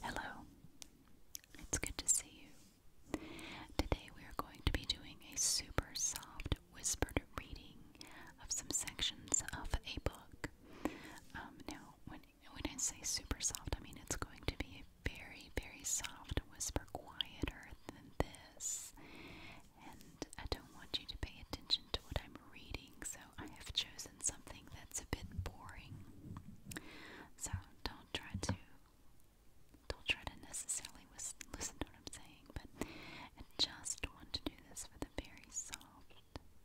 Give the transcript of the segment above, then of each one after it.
Hello, it's good to see you. Today we are going to be doing a super soft whispered reading of some sections of a book. Um, now, when, when I say super soft, I mean it's going to be very, very soft whisper, quieter than this. And I don't want you to pay attention to what I'm reading, so I have chosen something that's a bit boring. So don't try to don't try to necessarily listen to what I'm saying, but just want to do this with a very soft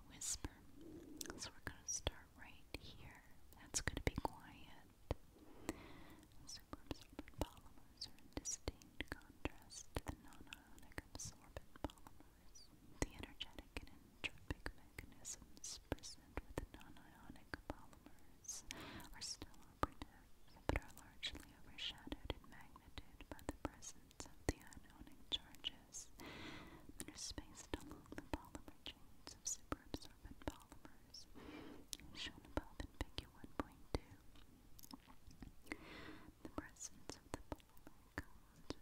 whisper. So we're gonna start right here. That's gonna be quiet. Superabsorbent polymers are in distinct contrast to the non absorbent polymers. The energetic and entropic mechanisms present with the polymers are still operative, but are largely overshadowed in magnitude by the presence of the ionic charges that are spaced along the polymer chains of superabsorbent polymers, shown above in Figure 1.2. The presence of the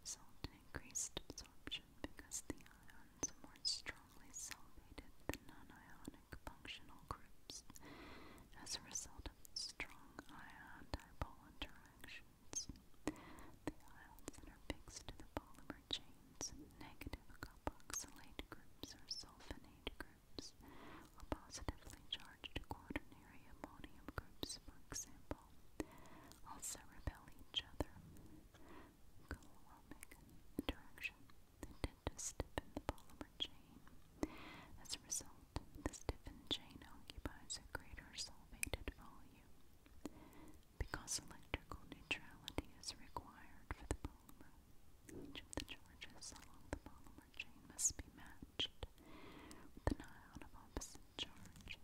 result in increased absorption because the ions are more strongly solvated than non functional groups as a result of strong ion-dipole interactions. The ions that are the polymer chains, negative carboxylate groups or sulfonate groups, or positively charged quaternary ammonium groups, for example, people also repel each other. Coloramic interaction that tend to the polymer chain. As a result, the stiffened chain occupies a greater solvated volume. Because electrical neutrality is required for the polymer, the charges along the polymer chain must be matched with an ion of opposite charge.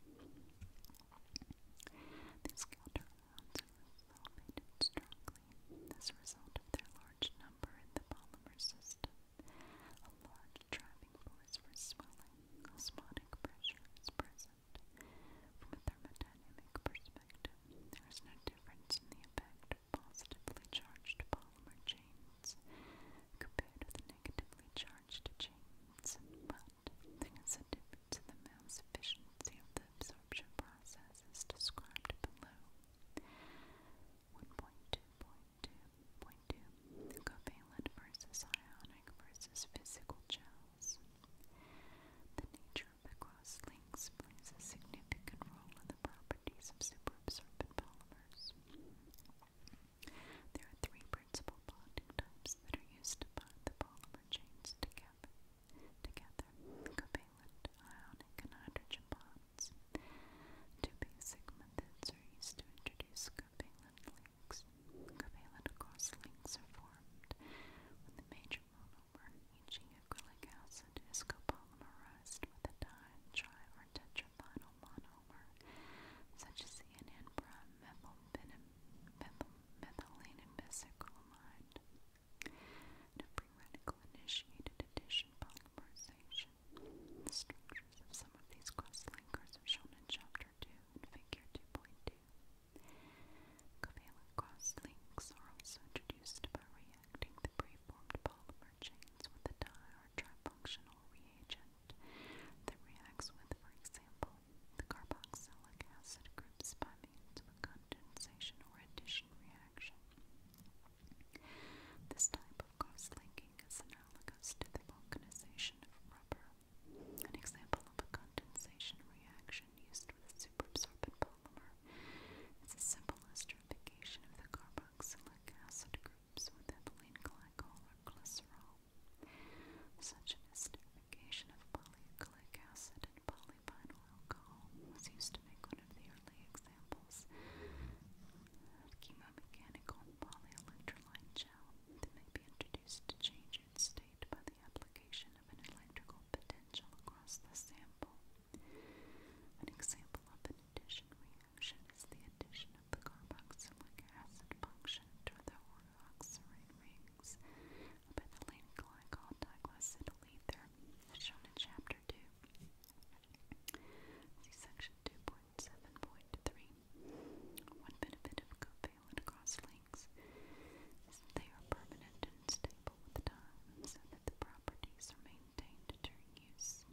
These counter-ounces are sulfated strongly as a result of their large number in the polymer system. A large driving force for swelling, osmotic pressure is present. From a thermodynamic perspective, there is no difference in the effect of positively charged polymer chains compared with negatively charged charged chains, but the sensitivity to the mass efficiency of the absorption process is described below. 1.2.2.2 Covalent versus ionic versus physical gels. The nature of the cross links plays a significant role in the properties of superabsorbent polymers. There are three principal bonding types that are used to bind the polymer chains together, together covalent, ionic, and hydrogen bonds. Two basic methods are used to introduce covalent links. Covalent cross are formed when the major monomer, e.g. acrylic acid, is copolymerized with a di, tri, or tetraphenyl monomer, such as the NN prime methylene and mesocalamide, a free initiated addition polymerization. The structures of some of these crosslinkers are shown in Chapter 2 and Figure 2.2. Covalent cross are also introduced by reacting the preformed polymer chains with a di- or trifunctional reagent that reacts with, for example, the carboxylic acid groups by means of a condensation or addition reaction. This type of cross-linking is analogous to the vulcanization of rubber. An example of a condensation reaction used with a superabsorbent polymer is a simple esterification of the carboxylic acid groups with ethylene glycol or glycerol. Such an esterification of polyacrylic acid and polyvinyl alcohol was used to make one of the early examples of chemomechanical polyelectrolyte gel that may be introduced to change its state by the application of an electrical potential across the sample. An example of an addition reaction is the addition of the carboxylic acid function ancient with the Orthodox rings by the late Glycol Douglas Italether, as shown in Chapter 2. Section 2.7.3. One benefit of covalent cross-links is that they are permanent and stable with time, so that the properties are maintained during use.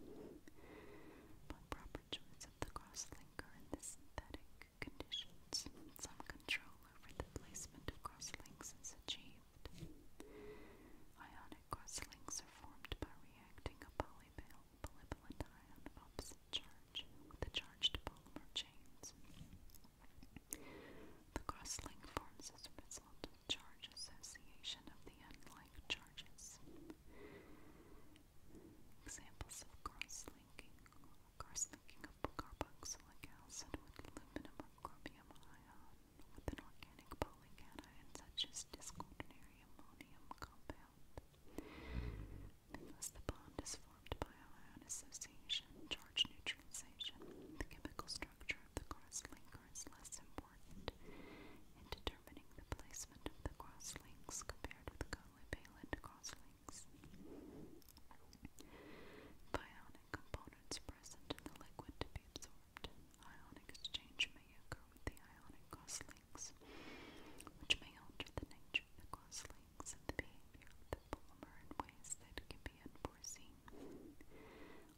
But proper of the cross-linker in the synthetic conditions, some control over the placement of crosslinks is achieved. Ionic crosslinks are formed by reacting a polyvalent polyvalent ion of opposite charge with the charged polymer chains. The crosslink forms as a result of charge association of the unlike charges. Examples of cross-linking cross-linking of carboxylic acid with aluminum or chromium ion with an organic polycation such as disquaternary ammonium compound. Because the bond is formed by ion association, charge neutralization, the chemical structure of the cross-linker is less important in determining the placement of the cross-links compared with covalent cross-links feelings. Bionic components present in the liquid to be absorbed. Ionic exchange may occur with the ionic crosslinks, which may alter the nature of the crosslinks and the behavior the polymer in ways that can be unforeseen.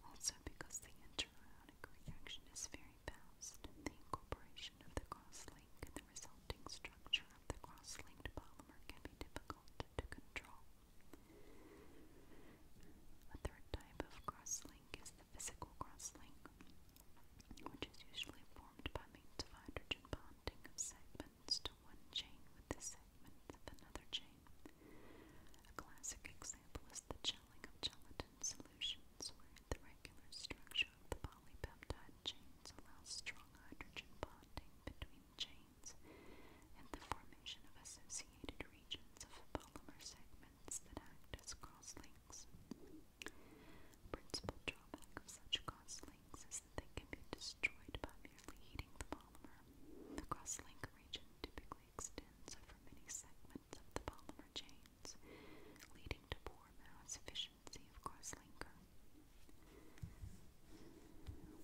Also, because the interionic reaction is very fast, the incorporation of the crosslink and resulting structure of the cross-linked polymer can be difficult to control. A third type of crosslink is the physical crosslink, which is usually formed by means of hydrogen bonding of segments to one chain with the segments of another chain. A classic example is the gelling of gelatin solutions, where the regular structure shop, polypeptide chains allow strong hydrogen bonding between chains and the formation of associated regions of polymer segments that act as crosslinks. Principal drawback of such crosslinks is that they can be destroyed by merely heating the polymer. The crosslink region typically extends over many segments of the polymer chains, leading to poor mass efficiency efficiency of crosslinker.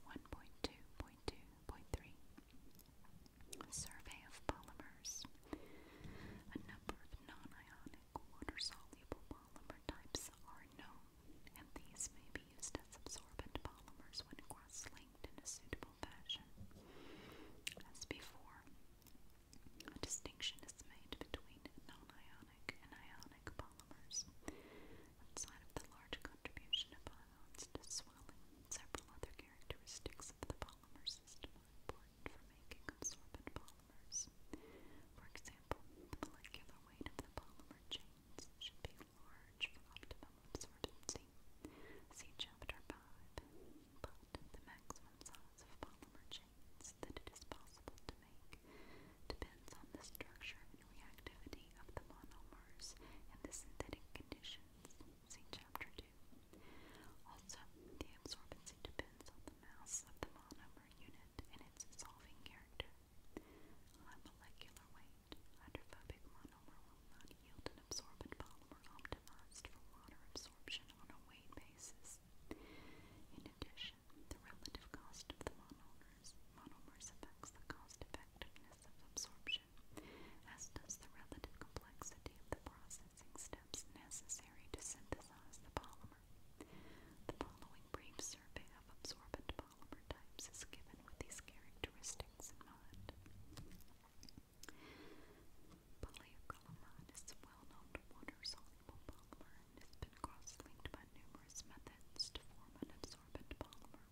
1.2.2.3 Survey of polymers. A number of non-ionic water-soluble polymer types are known, and these may be used as absorbent polymers when cross-linked in a suitable fashion. As before, a distinction is made between non-ionic cationic and ionic polymers. Outside of the large contribution of ions to swelling, several other characteristics of the polymer system are important for making absorbent polymers. For example, the molecular weight of the polymer chains should be large for optimum absorbency. See Chapter 5. But the maximum size of polymer chains the decisions that it is possible to make depends on the structure and reactivity of the monomers and the synthetic conditions. See Chapter 2. Also, the absorbency depends on the mass of the monomer unit and its solving character. High molecular weight, hydrophobic monomer will not yield an absorbent polymer optimized for water absorption on a weight basis. In addition, the relative cost of the monomers, monomers affects the cost effectiveness of absorption, as does the relative complexity of the processing steps necessary to synthesize the polymer. The following brief survey of absorbent polymer types is given with these characteristics in mind. Polyacrylamide is a well-known water-soluble polymer urine has cross-linked by numerous methods to form an absorbent polymer,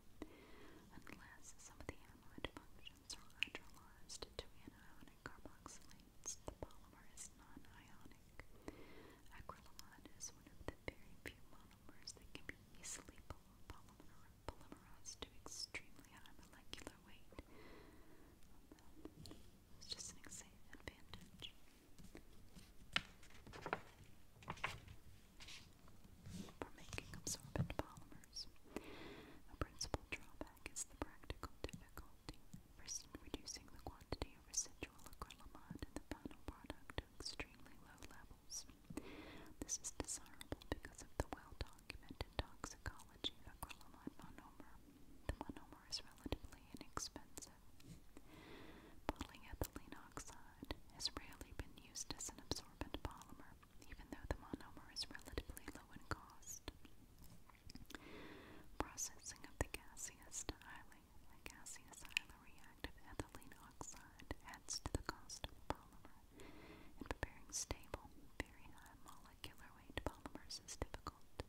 unless some of the amide functions are hydrolyzed to anionic carboxylates. The polymer is non-ionic. Acrylamide is one of the very few monomers that can be easily polymerized to extremely high molecular weight. It's just an advantage for making absorbent polymers. A principal drawback is the practical difficulty for reducing the quantity of residual acrylamide in the final product to extremely low levels. This is desirable because of the well-documented toxicology of acrylamide monomer is relatively inexpensive. Polyethylene oxide has rarely been used as an absorbent polymer, even though the monomer is relatively low in cost. Processing of the gaseous to a gaseous highly reactive ethylene oxide adds to the cost of the polymer, and preparing stable, very high molecular weight polymers is difficult.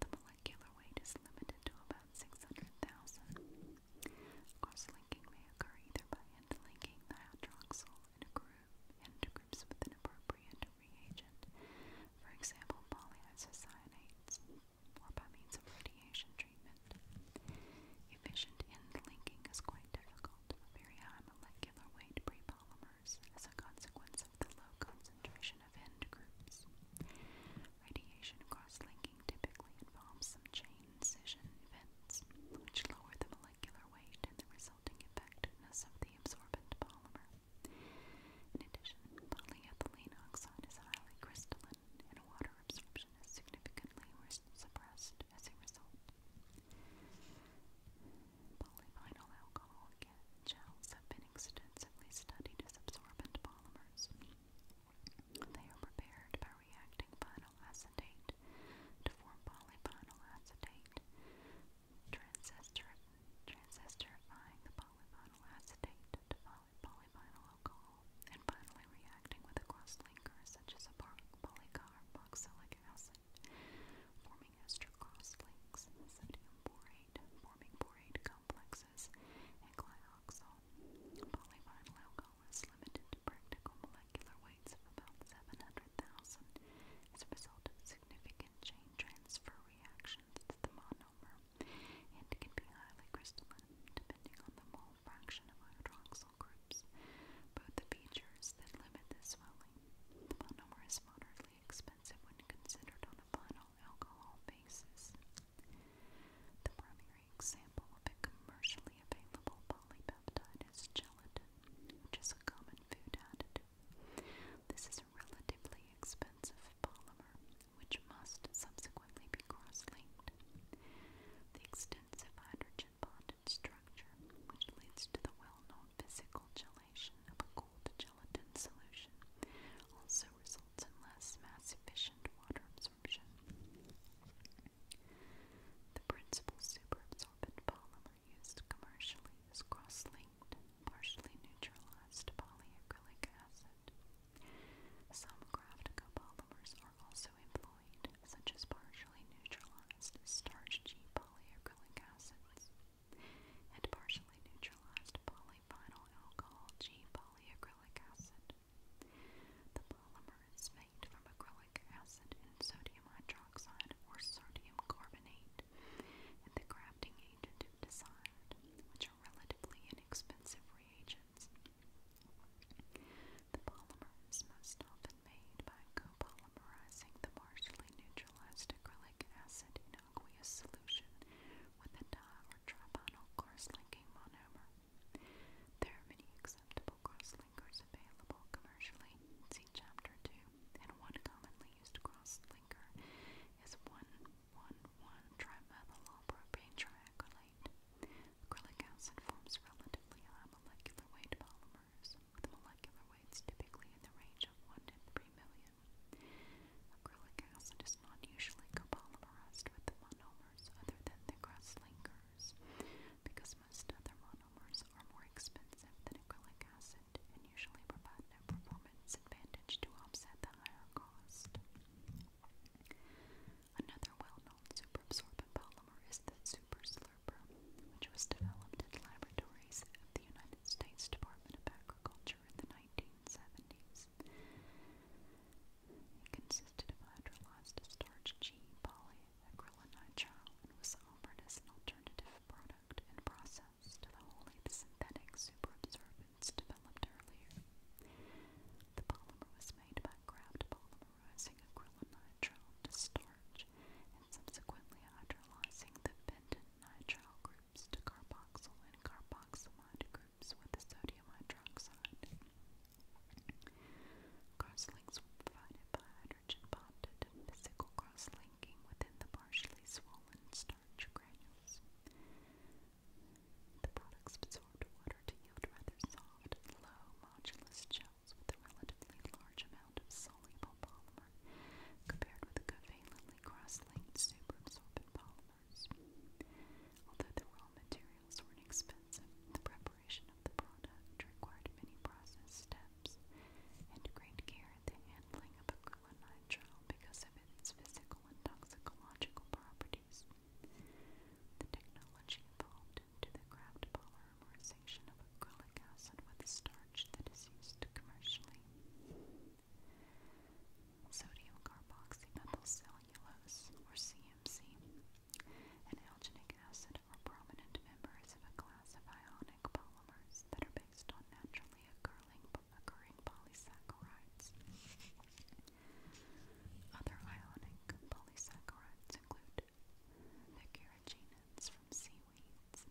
The molecular weight is limited to about 600,000. Crosslinking may occur either by end linking the hydroxyl in group into groups with an appropriate reagent, for example polyisocyanates, or by means of radiation treatment. Efficient end linking is quite difficult for very high molecular weight prepolymer as a consequence of the low concentration of end groups. Radiation cross-linking typically involves some chain scission events, which lower the molecular weight and the resulting effectiveness of the absorbent polymer. In addition, polyethylene oxide is highly crystalline, and water absorption is significantly suppressed as a result. Polyvinyl alcohol Gels have been extensively studied as absorbent polymers. They are prepared by reacting vinyl acetate to form polyvinyl acetate, transistor, transistorifying the polyvinyl acetate to polyvinyl alcohol, and finally reacting with a cross-linker such as a polycarboxylic acid, forming ester cross-links, sodium borate, borate, forming borate complexes, and glyoxal. Polyvinyl alcohol is limited to practical molecular weights of about 700,000 as a result of significant chain transfer reactions to the monomer, and can be highly crystalline depending on the mole fraction of hydroxyl groups. Both the features that limit the swelling. The monomer is moderately expensive when considered on a final alcohol basis. The primary example of a commercially available polypeptide is gelatin, which is a common food additive. This is a relatively expensive polymer, which must subsequently be cross-linked. The extensive hydrogen bonded structure, which leads to the well-known physical gelatin of a cold gelatin solution also results in less mass efficient water absorption. The principal superabsorbent polymer used commercially is cross-linked, partially neutralized polyacrylic acid. Some Graftico polymers are also employed, such as partially neutralized starch G polyacrylic acids and partially neutralized poly polyvinyl alcohol G polyacrylic acid. The polymer is made from acrylic acid and sodium hydroxide or sodium carbonate, and the crafting agent if which are relatively inexpensive reagents. The polymer is most often made by copolymerizing the partially neutralized acrylic acid in aqueous solution with a di or tribonyl cross-linking monomer. There are many acceptable cross-linkers available commercially, see chapter 2, and one commonly used cross-linker is 1,1,1-trimethylpropane triacrylate. Acrylic acid forms relatively high molecular weight polymers, with molecular weights typically in the range of 1 to 3 million. Acrylic acid is not usually copolymerized with monomers other than the cross linkers, because most other monomers are more expensive than acrylic acid and usually provide no performance advantage to offset the higher cost. Another well-known superabsorbent polymer is the super which was developed at laboratories of the United United States Department of Agriculture in the 1970s. It consisted of hydrolyzed starch G polyacrylonitrile and was offered as an alternative product and process to the wholly synthetic superabsorbents developed earlier. The polymer was made by Kraft polymerizing acrylonitrile to starch and subsequently hydrolyzing the pentant nitrile group groups and carboxamide groups with the sodium hydroxide. Crosslinks provided by hydrogen bonded physical cross within the partially swollen starch granules. The products absorbed water to yield rather soft, low, modulus gels with a relatively large amount of soluble polymer compared with the covalent highly cross-linked superabsorbent polymers. Although the raw materials were inexpensive, the preparation of the product required many process steps and great care at the handling of acrylonitrile because of its physical and toxicological properties. The technology evolved into the craft polymerization of acrylic acid with a starch that is used commercially sodium carboxymethyl cellulose, or CMC, and alginic acid are prominent members of a class of ionic polymers that are based on naturally occurring polysaccharides. Other ionic polysaccharides include the carrageenans from seaweeds,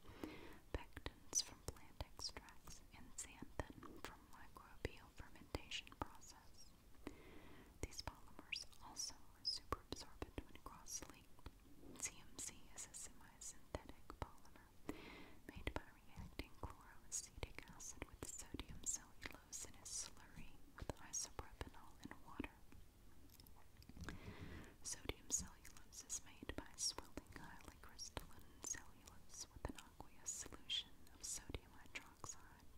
pectins from plant extracts and xanthan from microbial fermentation process. These polymers also are absorbent when cross-linked. CMC is a semi-synthetic polymer made by reacting chloroacetic acid with sodium cellulose in a slurry with isopropanol and water. Sodium cellulose is made by swelling highly crystalline cellulose with an aqueous solution of sodium hydroxide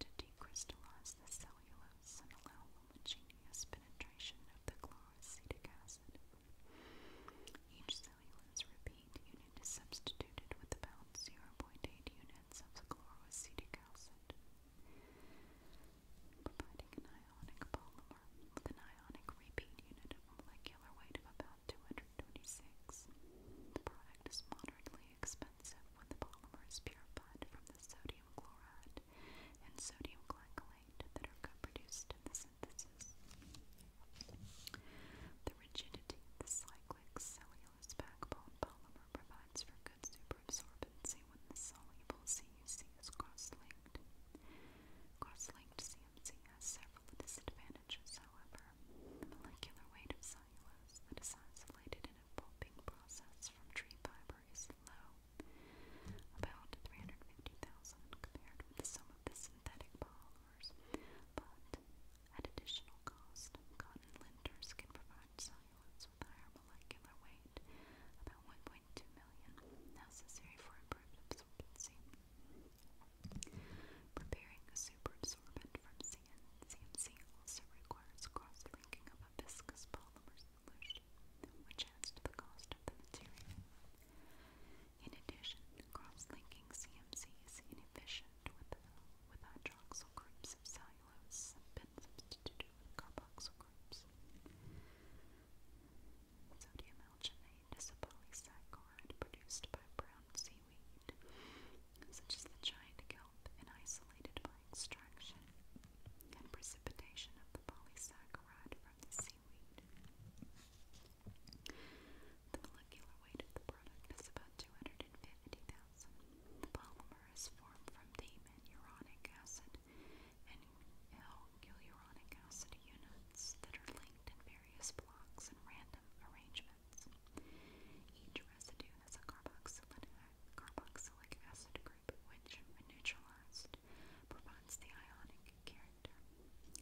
to decrystallize the cellulose and allow homogeneous penetration of the chloroacetic acid. Each cellulose repeat unit is substituted with about 0.8 units of the chloroacetic acid, providing an ionic polymer with an ionic repeat unit of a molecular weight of about 226. The product is moderately expensive when the polymer is purified from the sodium chloride and sodium glycolate that are co-produced in the synthesis. The rigidity of the cyclic cellulose backbone polymer provides for good superabsorbency when the soluble CUC is cross-linked. Cross-linked CUC AMC has several disadvantages, however. The molecular weight of cellulose that is isolated in a pulping process from tree fiber is low, about 350,000 compared with some of the synthetic polymers, but at additional cost, cotton linters can provide cellulose with higher molecular weight, about 1.2 million, necessary for improved absorbency. Preparing a superabsorbent from CN, also requires cross-linking of a viscous polymer solution, which adds to the cost of the material. In addition, cross-linking CMC is inefficient with, hydroxyl groups of cellulose been substituted with carboxyl groups. Sodium alginate is a polysaccharide produced by brown seaweed, such as the giant kelp, and isolated by extraction and precipitation of the polysaccharide from the seaweed. The molecular weight of the product is about 250,000. The polymer is formed from the acid and L small acid units that are linked in various blocks and random arrangements. Each residue has a carboxylic, acid group which, when neutralized, provides the ionic character.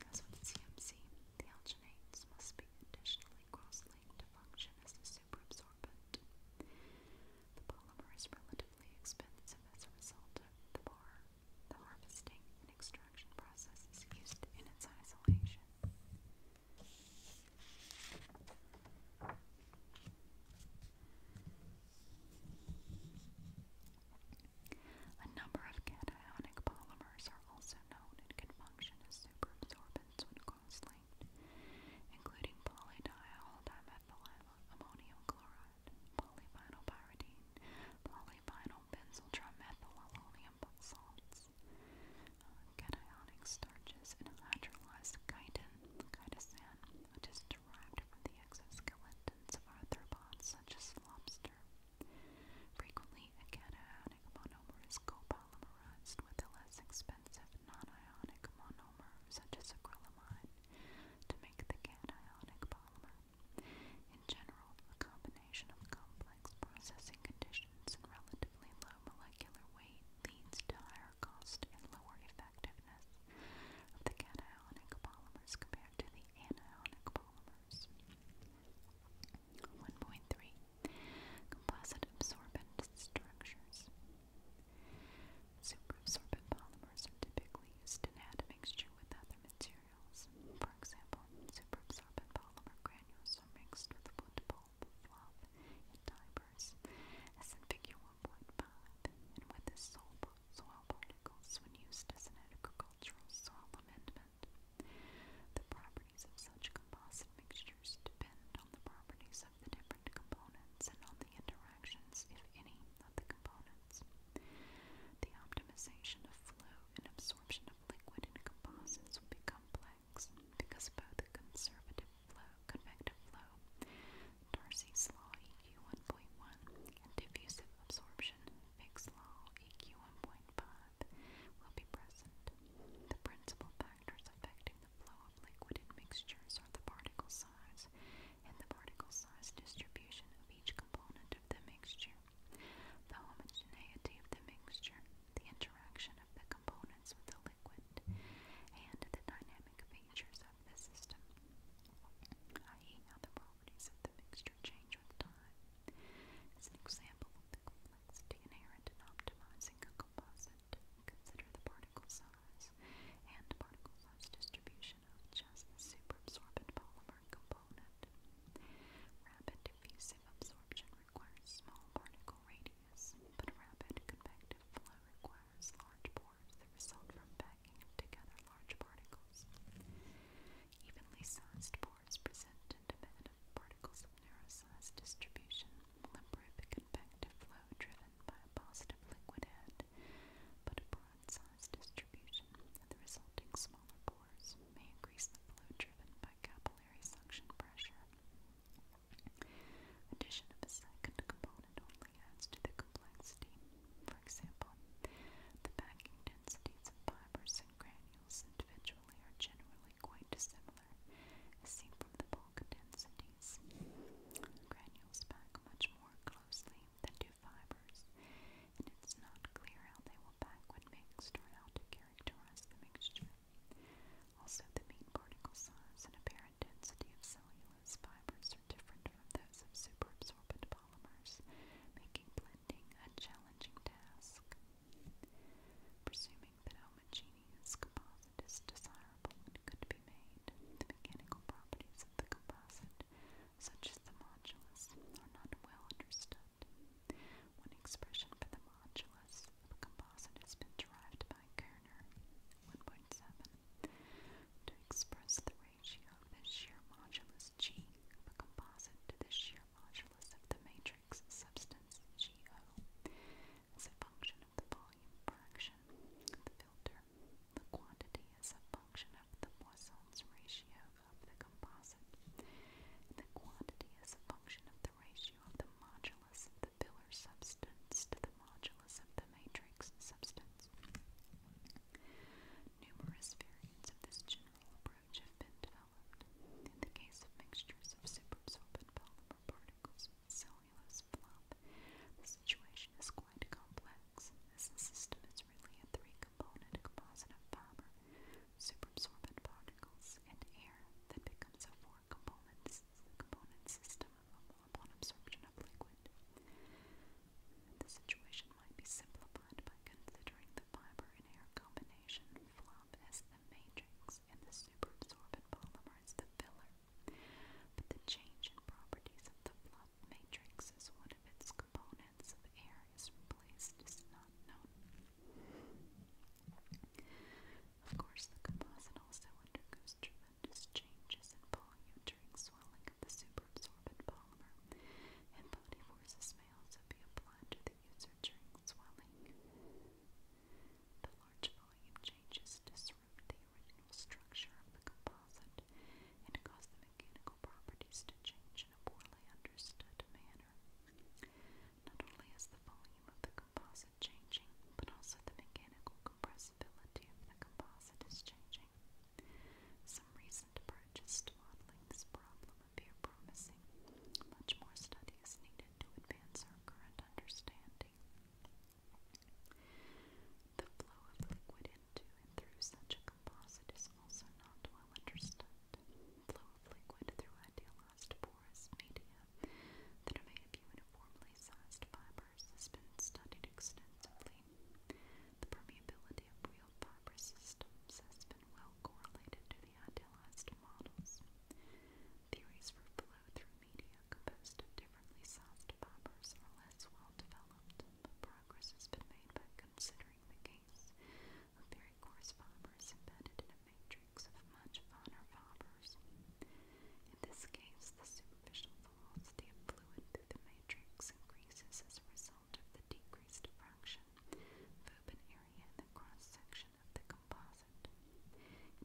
As with CMC, the algenates must be additionally cross-linked to function as a superabsorbent. The polymer is relatively expensive as a result of the bar the harvesting and extraction process is used in its isolation. A number of cationic polymers are also known and can function as superabsorbents when cross including polydiol dimethyl ammonium chloride, polyvinylpyridine, poly polyvinyl benzyl trimethylalonium salts, uh, cationic starches, and hydrolyzed chitin, chitosan, which is derived from the exoskeletons of arthropods such as lobster. Frequently, a cationic monomer is copolymerized with a less expensive non-ionic monomer such as acrylamide to make the cationic polymer. In general, a combination of complex processing conditions and relatively low molecular weight leads to higher cost and lower effectiveness of the cationic polymers compared to the anionic polymers. 1.3 Composite absorbent structures. Superabsorbent polymers are typically used in add a mixture with other materials materials, for example, superabsorbent polymer granules are mixed with wood pulp, fluff, and fibers, as in figure 1.5, and with the soil, soil particles when used as an agricultural soil amendment. The properties of such composite mixtures depend on the properties of the different components and on the interactions, if any, of the components. The optimization of flow and absorption of liquid in composites will be complex because both the conservative flow, convective flow, Darcy's law EQ 1.1, and diffusive absorption, (mix law EQ 1.5, will be present. The principal factors affecting the flow of liquid in mixtures are the particle size and the particle size distribution of each component of the mixture. The homogeneity of the mixture, the interaction of the components with the liquid, and the dynamic features of the system, i.e., how the properties of the mixture change with time, is an example of the complexity inherent in optimizing a composite. Consider the particle size and particle size distribution of just the absorbent polymer component component. Rapid diffusive absorption requires small particle radius, but rapid convective flow requires large pores that result from packing together large particles. Evenly sized pores present in demand of particles of narrow size distribution will improve the convective flow driven by a positive liquid head, but a and size distribution, and the resulting smaller pores may increase the flow driven by capillary suction pressure. Addition of a second component only adds to the complexity. For example, the packing densities of fibers and granules individually are generally quite dissimilar, as seen from the bulk densities. Granules pack much more closely than do fibers, and it's not clear how they will pack when mixed or how to characterize the mixture. Also, the mean particle size and apparent density of cellulose fibers are different from those of superabsorbent polymers, making blending a challenging task. Presuming that homogeneous composite is desirable and could be made, the mechanical properties of the composite such as the modulus, are not well understood. One expression for the modulus of a composite has been derived by Kerner, 1.7, to express the ratio of the shear modulus G of a composite to the shear modulus of the matrix substance GO as a function of the volume fraction of the filter. The quantity is a function of the Poisson's ratio of the composite. The quantity is a function of the ratio of the modulus of the pillar substance to the modulus of the matrix substance. Numerous variants of this general approach have been developed. In the case of mixtures of superabsorbent polymer particles with cellulose fluff, the situation is quite complex, as the system is really a three-component composite of powder, superabsorbent particles, and air that becomes a four-component system upon absorption of liquid. The situation might be simplified by considering the fiber and air combination flop as the matrix and the superabsorbent polymer as the filler. But the change in properties of the flop cloud matrix as one of its components of air is replaced is not known. Of course, the composite also undergoes tremendous changes in volume during swelling of the superabsorbent polymer, and body forces may also be applied to the user during swelling. The large volume changes disrupt the original structure of the composite and caused the mechanical properties to change in a poorly understood manner. Not only is the volume of the composite changing, but also the mechanical compressibility of the composite is changing. Some recent approaches to modeling this problem appear promising. Much more study is needed to advance our current understanding. The flow of liquid into and through such a composite is also not well understood. Flow of liquid through idealized porous media that are made of uniformly sized fibers has been studied extensively. The permeability of real fiber systems has been well correlated to the idealized models. Theories for flow through media composed of differently sized fibers are less well developed, but progress has been made by considering the case of very coarse fibers embedded in a matrix of much finer fibers. In this case, the superficial velocity of fluid through the matrix increases as a result of the decreased fraction of open area in the cross-section of the composite.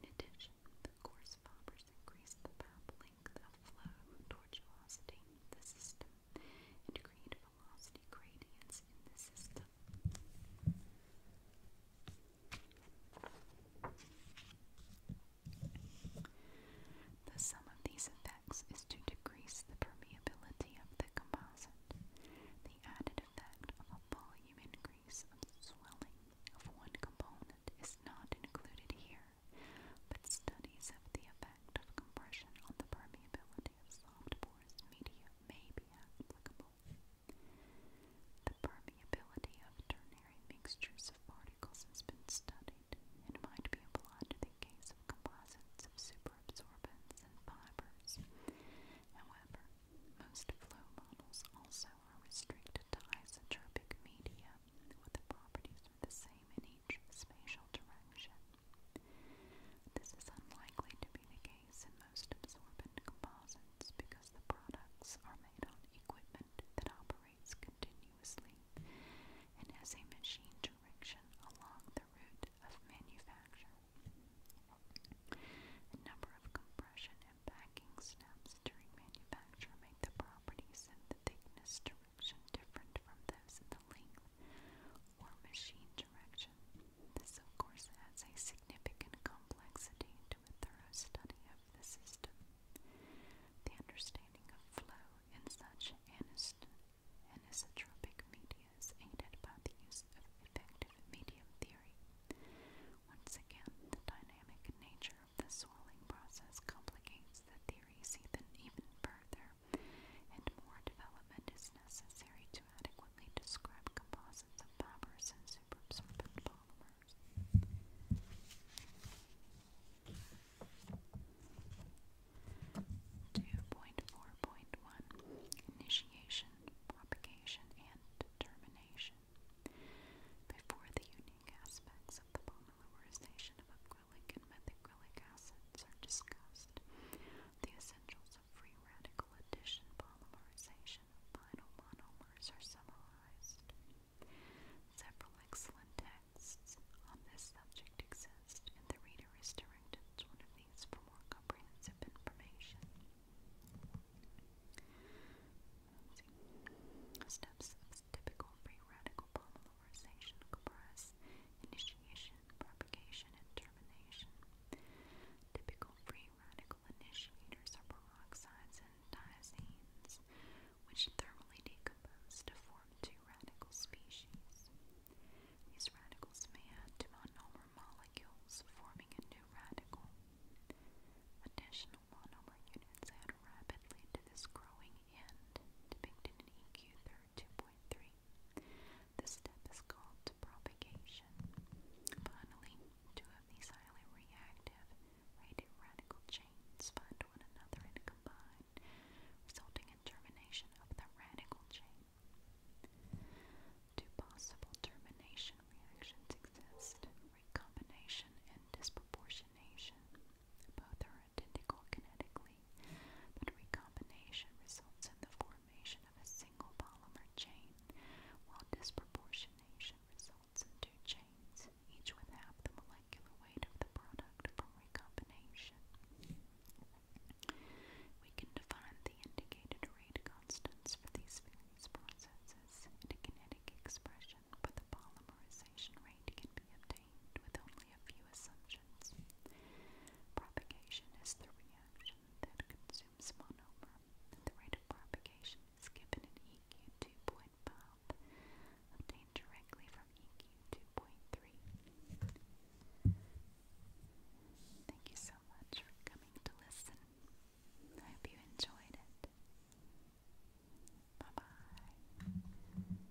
In addition, the coarse fibers increase the path length of flow toward the system and create velocity gradients in the system. The sum of these effects is to decrease the permeability of the composite. The added effect of a volume increase of swelling of one component is not included here but studies of the effect of compression on the permeability of soft porous media may be applicable. The permeability of ternary mixtures of particles has been studied and might be applied to the case of composites of superabsorbents and fibers. However, most flow models also are restricted to isotropic media, with the properties the same in change spatial direction. This is unlikely to be the case in most absorbent composites because the products are made on equipment that operates continuously and has a machine direction along the route of manufacture. A number of compression and packing steps during manufacture make the properties and the thickness direction different from those in the length or machine direction. This, of course, adds a significant complexity to a thorough study of the system. The understanding of flow in such anisotropic media is aided by the use of effective medium theory. Once again, the dynamic nature of the swelling process complicates the theories even further and more development is necessary to adequately describe composites of fibers and superabsorbent polymers. Two point four point one initiation, propagation, and determination. Before the unique aspects of the polymerization of acrylic methacrylic acids are discussed, the essentials of free radical addition polymerization of vinyl monomers are summarized. Several excellent texts on this subject exist, and the reader is directed to one of these for more comprehensive information. Steps as typical free radical polymerization comprise initiation, propagation, and termination. Typical free radical initiators are peroxides and diazines, which thermally decompose to form two radical species. These radicals may add to monomer molecules, forming a new radical. Additional monomer units add rapidly to this growing end, depicted in eq 2.3. This step is called propagation. Finally, two of these highly reactive radical chains find one another and combine, resulting in termination of the radical chain. Two possible termination reactions exist, recombination and disproportionation. Both are identical kinetically, but recombination results in the formation of a single polymer chain, while disproportionation results in two chains, each with half the molecular weight of the product from recombination. We can define the indicated rate constants for these various processes, and a kinetic expression but the polymerization rate can be obtained with only a few assumptions. Propagation is the reaction that consumes monomer. The rate of propagation is given in EQ 2.5, obtained directly from EQ 2.3. Thank you so much for coming to listen. I hope you enjoyed it. Bye bye.